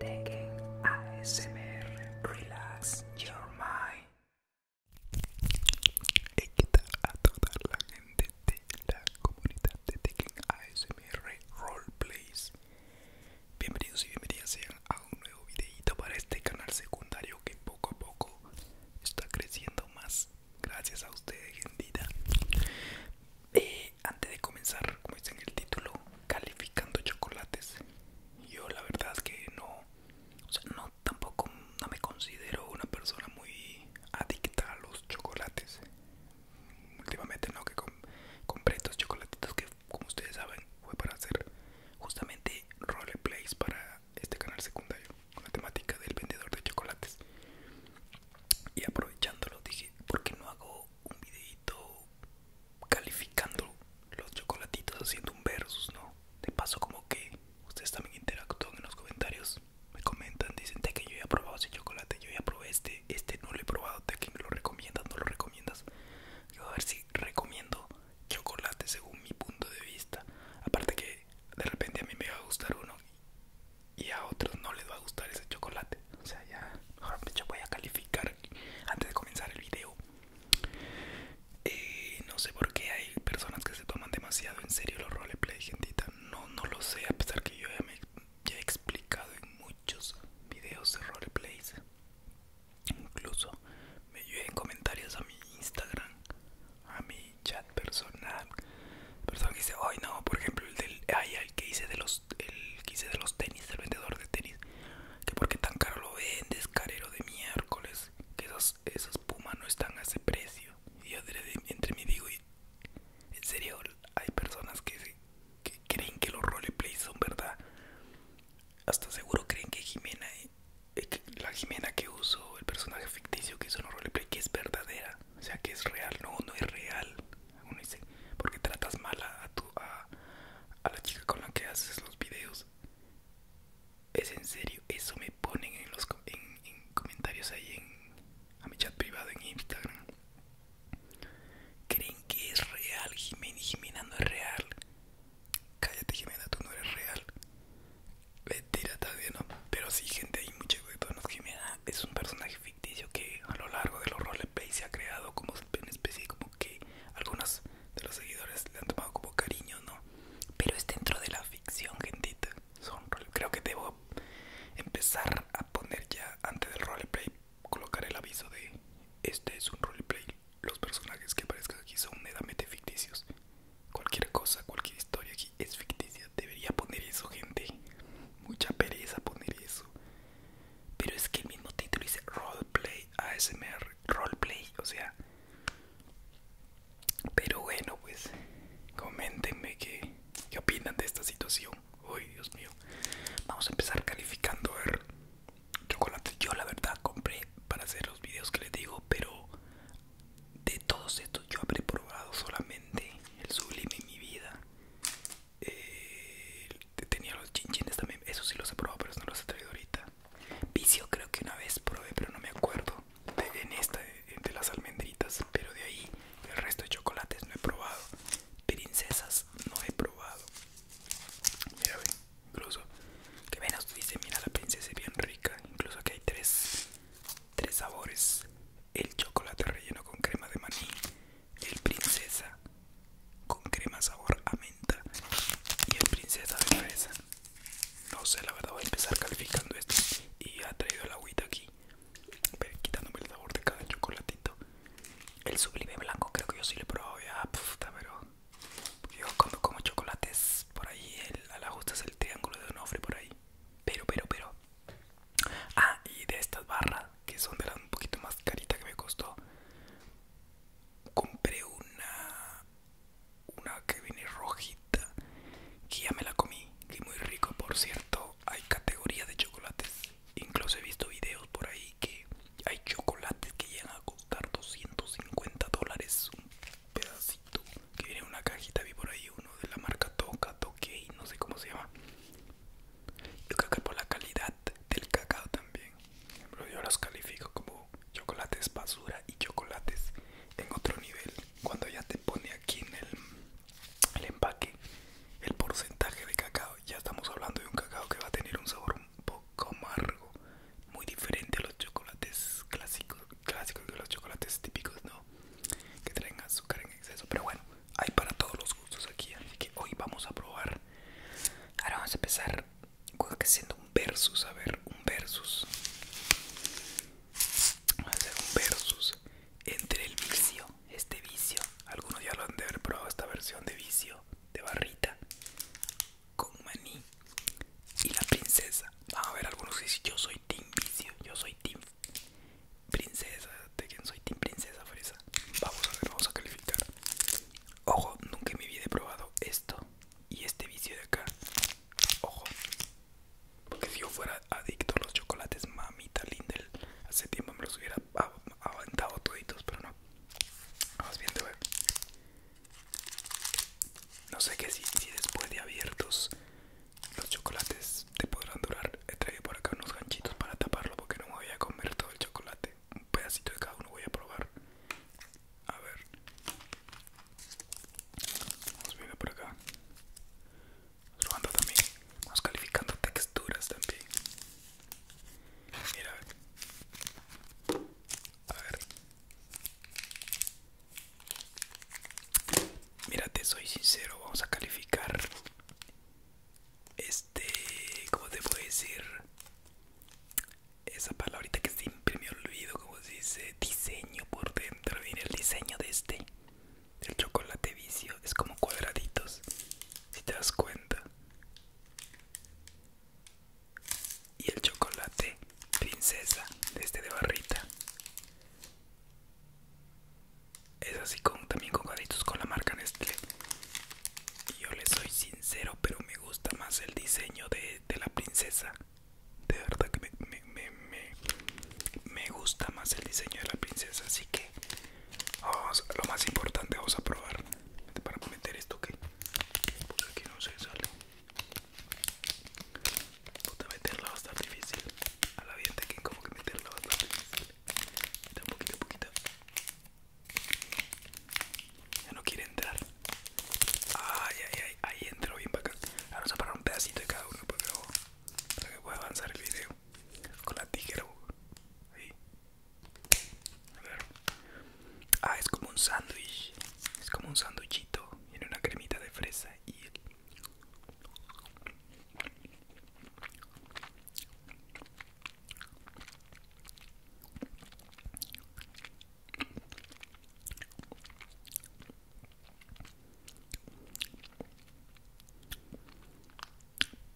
Tekken ASMR Relax Your Mind. He qué a toda la gente de la comunidad de Tekken ASMR Roleplays. Bienvenidos y bienvenidas sean a un nuevo videito para este canal secundario que poco a poco está creciendo más. Gracias a ustedes, gente eh, antes de comenzar, como dice en el título, calificando chocolates. Yo la verdad es que no, o sea, no tampoco no me considero una persona muy adicta a los chocolates. Últimamente no que compré estos chocolatitos que como ustedes saben fue para hacer justamente roleplays para este canal secundario con la temática del vendedor de chocolates. Y aprovechándolo dije, ¿por qué no hago un videito calificando los chocolatitos haciendo un versus, ¿no? De paso como que ustedes también interactúan en los comentarios, me comentan, dicen te que yo ya he probado ese chocolate, yo ya probé este, este no lo he probado, te que me lo recomiendas, no lo recomiendas. Yo a ver si recomiendo chocolate según mi punto de vista. Aparte que de repente a mí me va a gustar uno y a otros no les va a gustar ese chocolate. O sea, ya, yo me voy a calificar antes de comenzar el video. Eh, no sé por qué hay personas que se toman demasiado en serio los roleplay, gentita. No, no lo sé, a pesar que yo ya me he explicado en muchos videos de roleplays. Incluso me en comentarios a mi Instagram, a mi chat personal. Personas que dicen, ay no, por ejemplo, el del, ay, el que hice de los el quise de los tenis el vendedor de tenis que porque tan caro lo vendes carero de miércoles que esas pumas no están a ese precio y yo entre mí digo en serio hay personas que, creen que los roleplays son verdad hasta seguro creen que Jimena eh, la Jimena que usó el personaje ficticio que hizo en los roleplay que es verdadera o sea que es real no no es real uno dice, porque tratas mal a, tu, a, la chica con la que haces los videos? Es en serio, eso me ponen en los en, comentarios ahí en, a mi chat privado en Instagram. ¿Creen que es real, Jimena? Jimena no es real. Cállate, Jimena, tú no eres real. Mentira, todavía no. Pero sí, gente, hay mucho nos Jimena es un personaje que a lo largo de los roleplay se ha creado como una especie como que algunos de los seguidores le han tomado como cariño, ¿no? Pero es dentro de la ficción, gente, Son Creo que debo empezar a poner ya antes del roleplay, colocar el aviso de este es un roleplay. Los personajes que aparezcan aquí son netamente ficticios. Cualquier cosa, cualquier historia aquí es ficticia. Debería poner eso, gente. Mucha pereza poner eso. Pero es que el mismo título dice Roleplay ASMR, Roleplay, o sea. Pero bueno, pues coméntenme qué, qué opinan de esta situación. Uy, Dios mío. Vamos a empezar calificando a ver chocolate. Yo la verdad compré para hacer los videos que les digo, pero de todos estos yo habré probado solamente el sublime en mi vida. Eh, tenía los chinchines también, eso sí los he probado, pero no los he traído ahorita. Vicio creo que una vez probé, pero no me acuerdo. De, en esta, eh, de, las almendritas, pero de ahí el resto de chocolates no he probado. Princesas no he probado. Mira, incluso que menos dice, mira la princesa es bien rica. Incluso que hay tres, tres sabores. El chocolate relleno con crema de maní, el princesa con crema sabor a menta y el princesa de fresa. No sé, la verdad voy a empezar calificando esto y ha traído el agüita aquí, quitándome el sabor de cada chocolatito. El sublime blanco creo que yo sí lo he probado ya, pero yo cuando como chocolates por ahí, el, a la es el triángulo de onofre por ahí. Pero, pero, pero, Ah, y de estas barras, que son de las un poquito más caritas que me costó, compré una, una que viene rojita, que ya me la comí, que muy rico, por cierto, hay categorías de chocolates, incluso he visto videos por ahí que hay chocolates que llegan a costar 250 dólares un pedacito, que viene una cajita, vi por ahí uno de la marca Toca, Toque, no sé cómo se llama yo creo que por la calidad del cacao también. Pero yo los califico como chocolates basura y chocolates en otro nivel. Cuando ya te pone aquí en el, empaque el porcentaje de cacao, ya estamos hablando de un cacao que va a tener un sabor un poco amargo, muy diferente a los chocolates clásicos, clásicos de los chocolates típicos, ¿no? Que traen azúcar en exceso, pero bueno hay para todos los gustos aquí así que hoy vamos a probar ahora vamos a empezar creo que siendo un versus a ver un versus vamos a hacer un versus entre el vicio este vicio algunos ya lo han de haber probado esta versión de vicio de barrita con maní y la princesa vamos a ver algunos dicen yo soy team vicio yo soy team princesa, de quien soy team princesa fresa. Vamos a ver, vamos a calificar. Ojo, nunca me había probado esto y este vicio de acá. Ojo, porque si yo fuera adicto a los chocolates, mamita Lindel, hace tiempo me los hubiera aventado toditos, pero no. Vamos bien de No sé qué si, después de abiertos los chocolates te podrán durar. He traído por acá unos ganchitos para taparlo porque no me voy a comer todo el chocolate. Un pedacito de cada uno voy a probar. A ver. Vamos viendo por acá. Vamos también. calificando texturas también. Mira. A ver. Mira, soy sincero, vamos a calificar este cómo te puedo decir esa palabrita que siempre me olvido como se dice diseño por dentro viene el diseño de este el chocolate vicio es como cuadraditos si te das cuenta y el chocolate princesa de este de barrita es así con también con gaditos con la marca Nestlé yo le soy sincero pero me gusta más el diseño de, la princesa de verdad que me, gusta más el diseño de la princesa así que lo más importante vamos a probar para meter esto que pues aquí no se sale puta meterla va a estar difícil a la gente que como que meterla va a estar difícil un poquito, poquito. Ya no quiere entrar. Ay, ay, ay. Ahí entró bien para vamos a parar un pedacito de cada uno para que, pueda avanzar el video. Con la tijera. Ahí. A ver. Ah, es como un sándwich. Es como un sándwichito. Tiene una cremita de fresa y...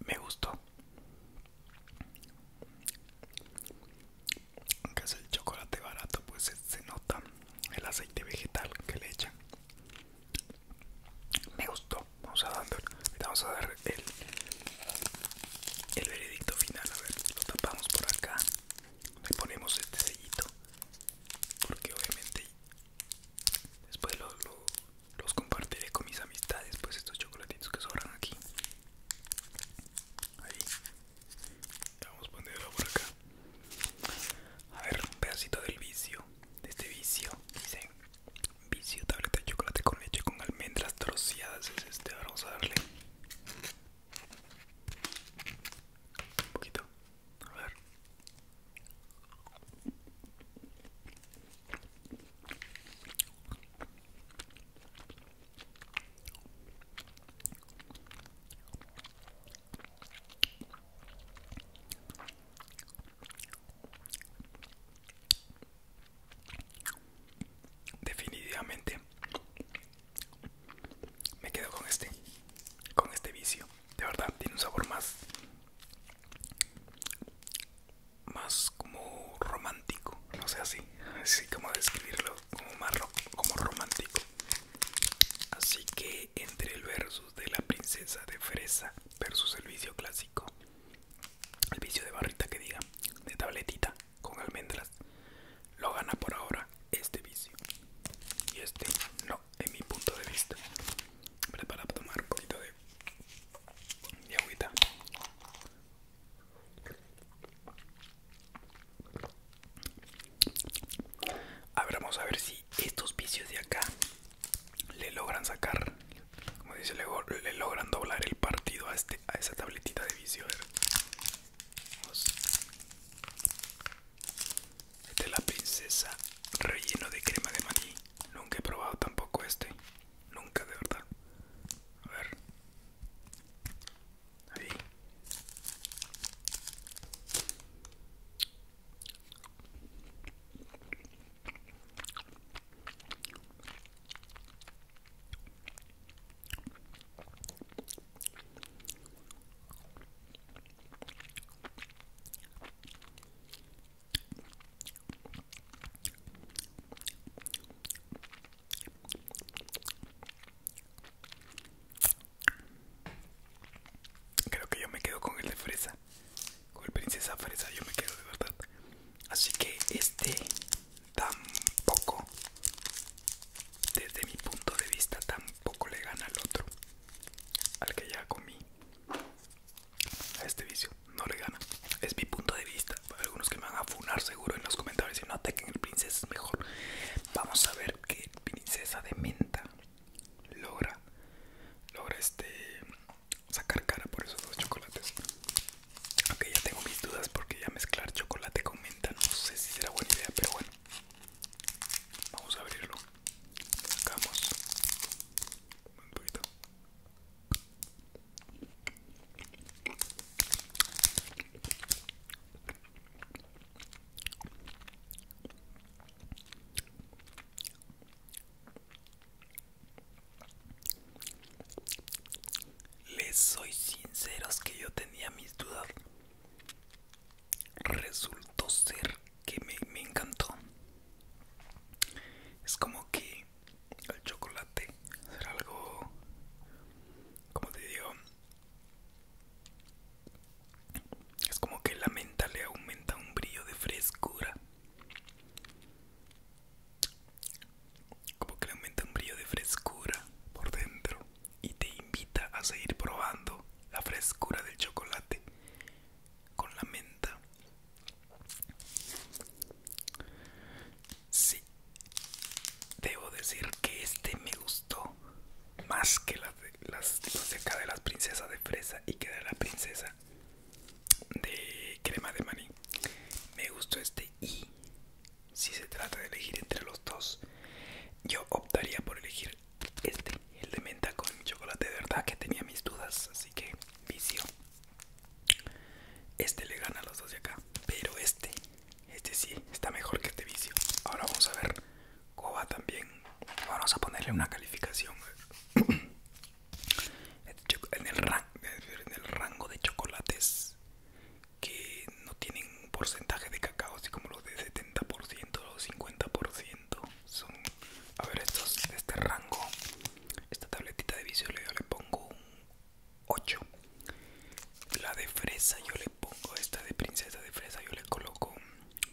Me gustó. Aunque es el chocolate barato, pues se nota el aceite vegetal que le echan me gustó vamos a dar vamos a dar el veredicto final a ver lo tapamos por acá le ponemos este sellito porque obviamente después los compartiré con mis amistades pues estos chocolatitos que sobran aquí ahí vamos a ponerlo por acá a ver un pedacito del vicio de este vicio dicen Vicio, tableta de chocolate con leche con almendras troceadas. Es este, vamos a darle un poquito. A ver. Definitivamente me quedo con este, con este vicio. De verdad, tiene un sabor más, más como romántico. No sé así, así como describirlo, como más como romántico. Así que entre el versus de la princesa de fresa versus el vicio clásico el vicio de barrita que diga, de tabletita con almendras, lo gana por ahora este vicio. Y este no, en mi punto de vista. Para tomar un poquito de, de agüita. A vamos a ver si estos vicios de acá le logran sacar, como dice, le, logran doblar el partido a, este, a esa tabletita de visión. A este es la princesa relleno de crema de maní. Nunca he probado tampoco este. Nunca, de verdad. A ver. Ahí. Creo que yo me quedo con el de fresa con el princesa fresa yo me quedo de verdad así que este tampoco desde mi punto de vista tampoco le gana al otro al que ya comí a este vicio no le gana es mi punto de vista algunos que me van a funar seguro en los comentarios y no ataquen el princesa es mejor vamos a ver qué princesa de menta logra logra este sacar cara por esos dos chocolates. Aunque ya tengo mis dudas porque ya mezclar chocolate con menta no sé si será buena idea, pero bueno. Vamos a abrirlo. Sacamos un poquito. Les soy sinceros que yo tenía mis dudas. Resultó ser que me, me encantó. Es como que el chocolate será algo, como te digo, es como que la menta le aumenta un brillo de frescura como que le aumenta un brillo de frescura por dentro y te invita a seguir probando la frescura del chocolate con la menta. Sí, debo decir que este me gustó más que las de, las, de las princesas de fresa y que de la princesa de crema de maní me gustó este y si se trata de elegir entre los dos yo optaría por elegir este el de menta con chocolate de verdad que tenía mis dudas así que vicio este le gana a los dos de acá pero este este sí está mejor que este vicio ahora vamos a ver cómo va también vamos a ponerle una calificación en el, rango de chocolates que no tienen un porcentaje de cacao así como los de 70% o 50% son a ver estos de este rango esta tabletita de vicio yo le pongo un 8 la de fresa yo le pongo esta de princesa de fresa yo le coloco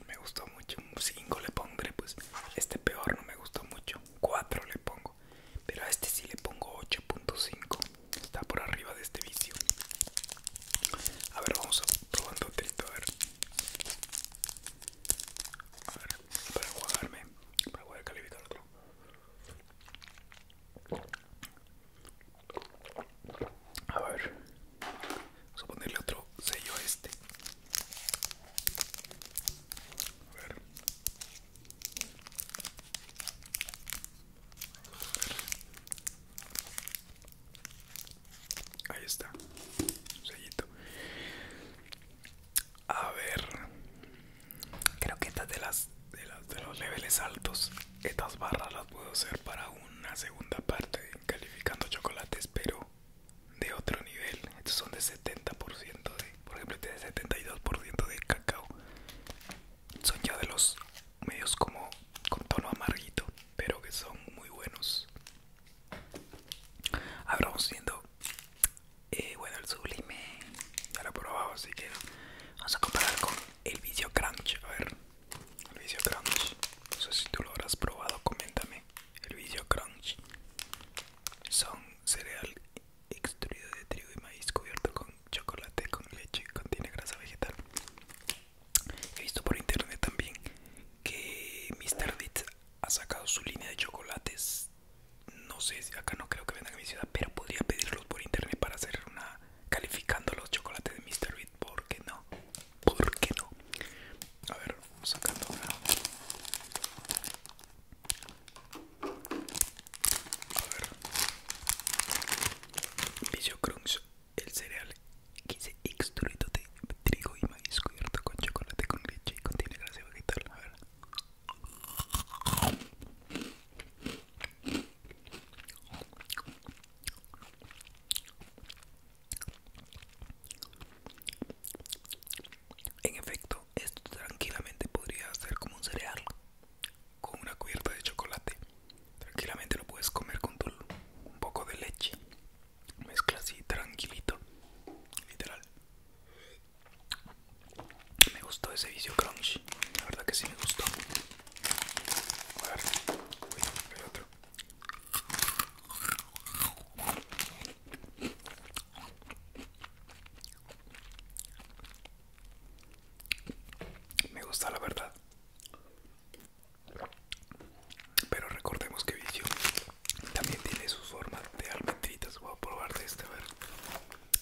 me gustó mucho un 5 le pondré pues este peor no me gustó mucho 4 le pongo pero a este si le pongo 8.5 Está por arriba de este vicio A ver, vamos probando a ver A ver, para jugarme Para poder calificar otro a ver, vamos a ponerle otro sello a este. A ver. Ahí está. sellito. A ver. Creo que estas de las de, de los niveles altos, estas barras las puedo hacer para una segunda parte calificando chocolates, pero de otro nivel. Estos son de 70% de, por ejemplo, este es de 72% de cacao. Son ya de los medios como con tono amarguito, pero que son muy buenos. Ahora vamos viendo, eh, bueno, el sublime ya lo he probado, así que vamos a comparar con el Vicio Crunch. A ver, el Vicio Crunch, no sé si tú lo habrás probado, coméntame. El Vicio Crunch son cereal extruido de trigo y maíz cubierto con chocolate con leche contiene grasa vegetal he visto por internet también que Mr. Deeds ha sacado su línea de chocolates no sé acá no creo que vengan en mi ciudad pero podría pedirlos por internet para hacer una calificando los chocolates de Mr. Beat ¿por qué no? ¿por qué no? a ver vamos sacando a ver. Vicio Crunch, el cereal que se extruido de trigo y maíz cubierto con chocolate con leche y contiene grasa vegetal. A ver. En efecto, esto tranquilamente podría ser como un cereal con una cubierta de chocolate. Tranquilamente lo puedes comer con un poco de leche. Mezcla así tranquilito. Literal. Me gustó ese vicio crunch. La verdad que sí me gustó. A ver, otro. Me gusta la verdad. Pero recordemos que Vision también tiene su forma de almendritas. Voy a probar de este, a ver.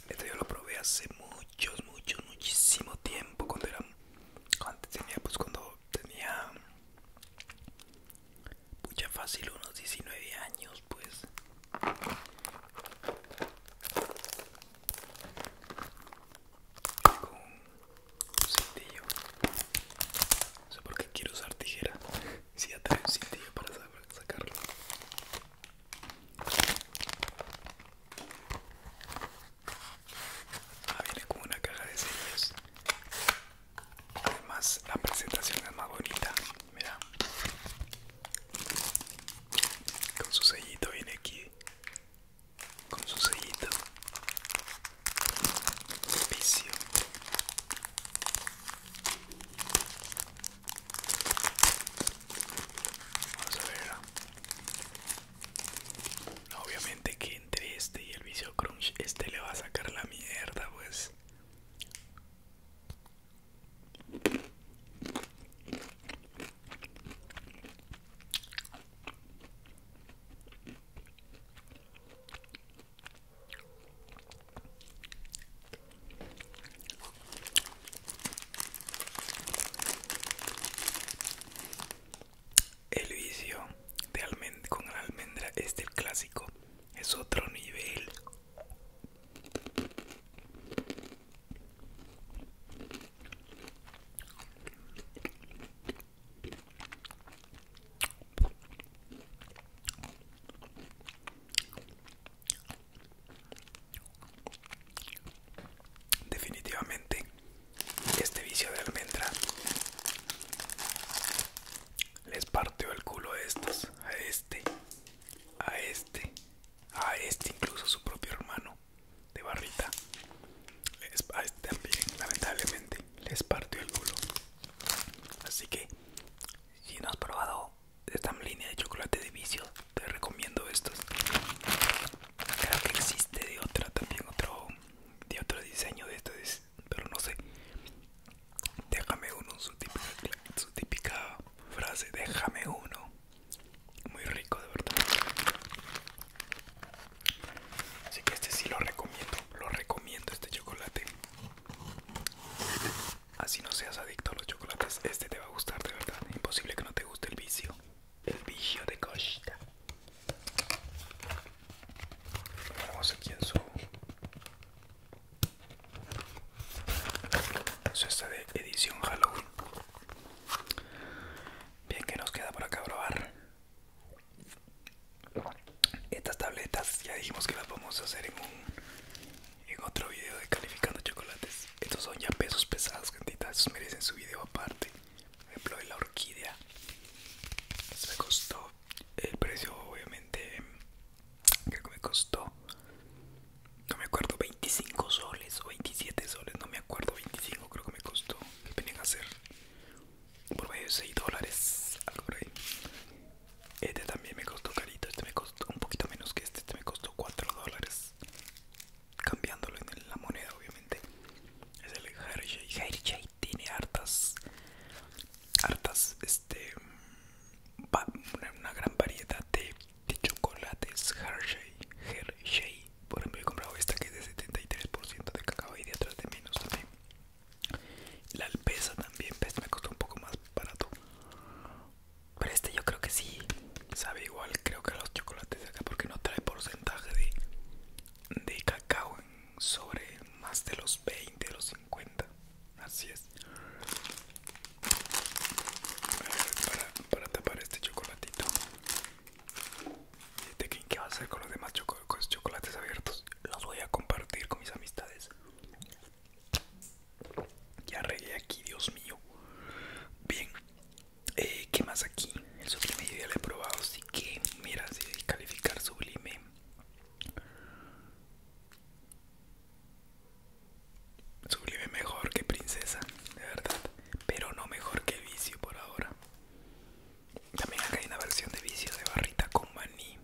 Este yo lo probé hace muchos, muchos, muchísimo tiempo. Cuando era. Antes tenía, pues cuando tenía. Mucha fácil, unos 19 años, pues. Con un cintillo. No sé por qué quiero usar tijera. Si ya trae un cintillo para sacarlo. Ah, viene con una caja de sellos. Además, la presentación es más bonita. Mira. Con su sellito viene aquí. Con su sellito. Vicio. Vamos a ver. Obviamente que entre este y el vicio crunch, este le va a sacar la mierda, pues. El vicio de almend con la almendra es el clásico, es otro nivel. Definitivamente este vicio de almendra les partió el culo a estos, a estos este, a este, a este, incluso su propio hermano de barrita. a este también, lamentablemente, les partió el bulo. Así que, si no has probado esta línea de chocolate de vicio, te recomiendo estos. Creo que existe de otra también, otro de otro diseño de estos, pero no sé. Déjame uno, su típica, frase, déjame uno. Muy rico, de verdad. Así que este sí lo recomiendo, lo recomiendo este chocolate. Así no seas adicto a los chocolates, este te va a gustar, de verdad. Imposible que no te guste el vicio, el vicio de costa. vamos aquí en su eso está de edición Halloween. Bien, que nos queda por acá probar. Estas tabletas ya dijimos que las vamos a hacer en en otro video de calificando chocolates. Estos son ya pesos pesados, cantitas, merecen su video aparte. Por ejemplo, de la orquídea. Se me costó el precio, obviamente, creo que me costó no me acuerdo 25 soles o 27 soles no me acuerdo 25 creo que me costó que venían a hacer por medio de 6 dólares algo este también me costó carito este me costó un poquito menos que este este me costó 4 dólares cambiándolo en la moneda obviamente es el tiene hartas hartas este una gran variedad de, chocolates Hershey, Por ejemplo, he comprado esta que es de 73% de cacao y de de menos también. La alpesa también, esta pues, me costó un poco más barato. Pero este yo creo que sí sabe igual, creo que los chocolates de acá, porque no trae porcentaje de, cacao sobre más de los 20, de los 50. Así es. Para, tapar este chocolatito. ¿Qué va a hacer con los demás chocolates abiertos? Los voy a compartir con mis amistades. Ya regué aquí, Dios mío. Bien, eh, ¿qué más aquí? El sublime ya lo he probado, así que mira, si calificar sublime. Sublime mejor que princesa, de verdad. Pero no mejor que vicio por ahora. También acá hay una versión de vicio de barrita con maní.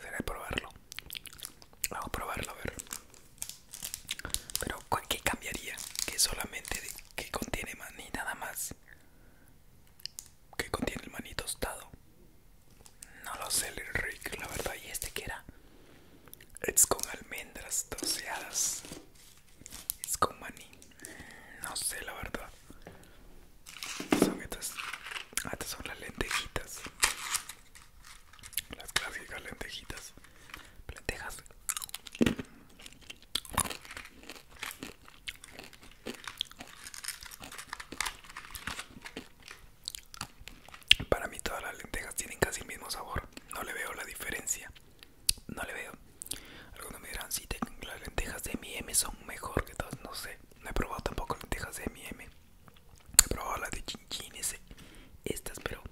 Será de probarlo. Vamos a probarlo a ver. Pero ¿qué cambiaría? Que solamente que contiene maní nada más. Que contiene el maní tostado. No lo sé, el Rick, la verdad. ¿Y este qué era? Es con almendras toseadas Es con maní. No sé, la verdad. Son estas. Ah, estas son las lentejitas. Las clásicas lentejitas. Lentejas. Para mí todas las lentejas tienen casi el mismo sabor. No le veo la diferencia. No le veo. Algunos me dirán, si las lentejas de M&M son mejor que todas. No sé. No he probado tampoco lentejas de M&M. He probado las de chinchinese, Estas, pero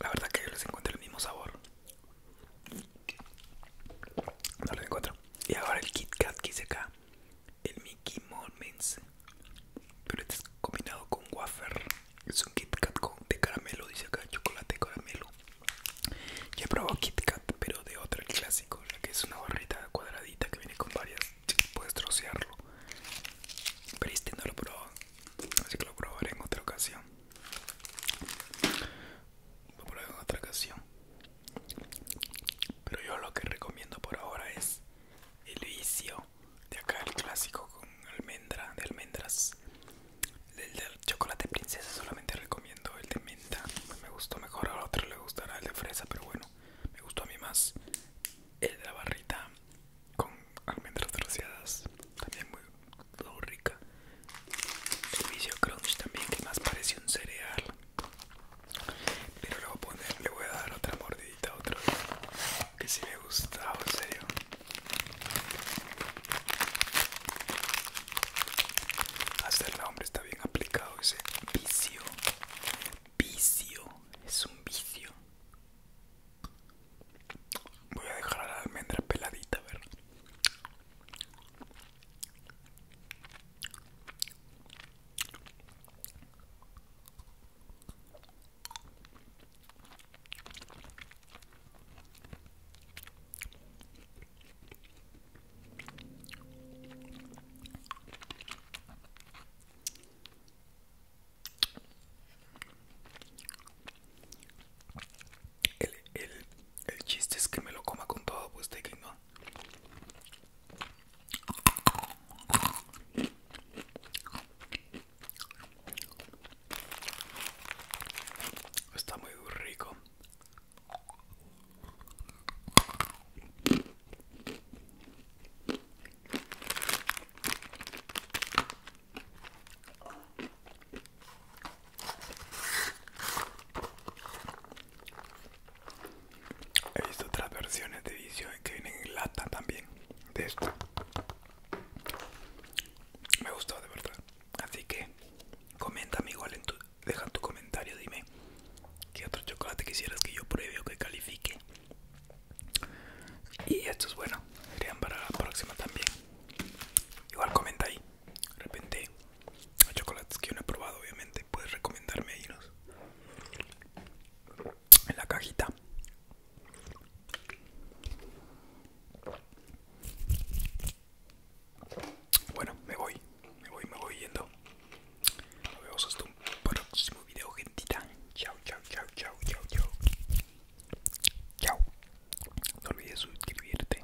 la verdad que yo les encuentro el mismo sabor. No les encuentro. Y ahora el Kit Kat que hice acá el Mickey Moments pero este es combinado con wafer es un Kit Kat con, de caramelo dice acá chocolate caramelo ya he probado Kit Kat pero de otro clásico que es una barrita cuadradita que viene con varias puedes trocearlo pero este no lo probado así que lo probaré en otra ocasión lo probaré en otra ocasión pero yo lo que recomiendo por ahora es el vicio de acá el clásico con almendra de almendras el del chocolate princesa solamente recomiendo el de menta me gustó mejor a otro le gustará el de fresa pero bueno me gustó a mí más el de la barrita con almendras rociadas, también muy, rica el vicio crunch también que más parece un cereal pero le voy a poner, le voy a dar otra mordidita, otro que si le me gusta, en serio. Hacerla el hombre está bien aplicado ese vicio. Vicio, es un vicio. Voy a dejar la almendra peladita, a ver. El, el, chiste es que me lo coma con todo, pues, que ¿no? Está muy rico. He visto otras versiones de vídeos que vienen en lata también de esto. Me gustó de verdad. Así que coméntame igual en tu, deja tu comentario, dime qué otro chocolate quisieras que yo pruebe o que califique. Y esto es bueno, Serían para la próxima también. Igual comenta ahí. De repente los chocolates que yo no he probado obviamente puedes recomendarme ahí en la cajita bueno me voy me voy me voy yendo nos vemos hasta un próximo video gentita chao chao chao chao chao chao chao no olvides suscribirte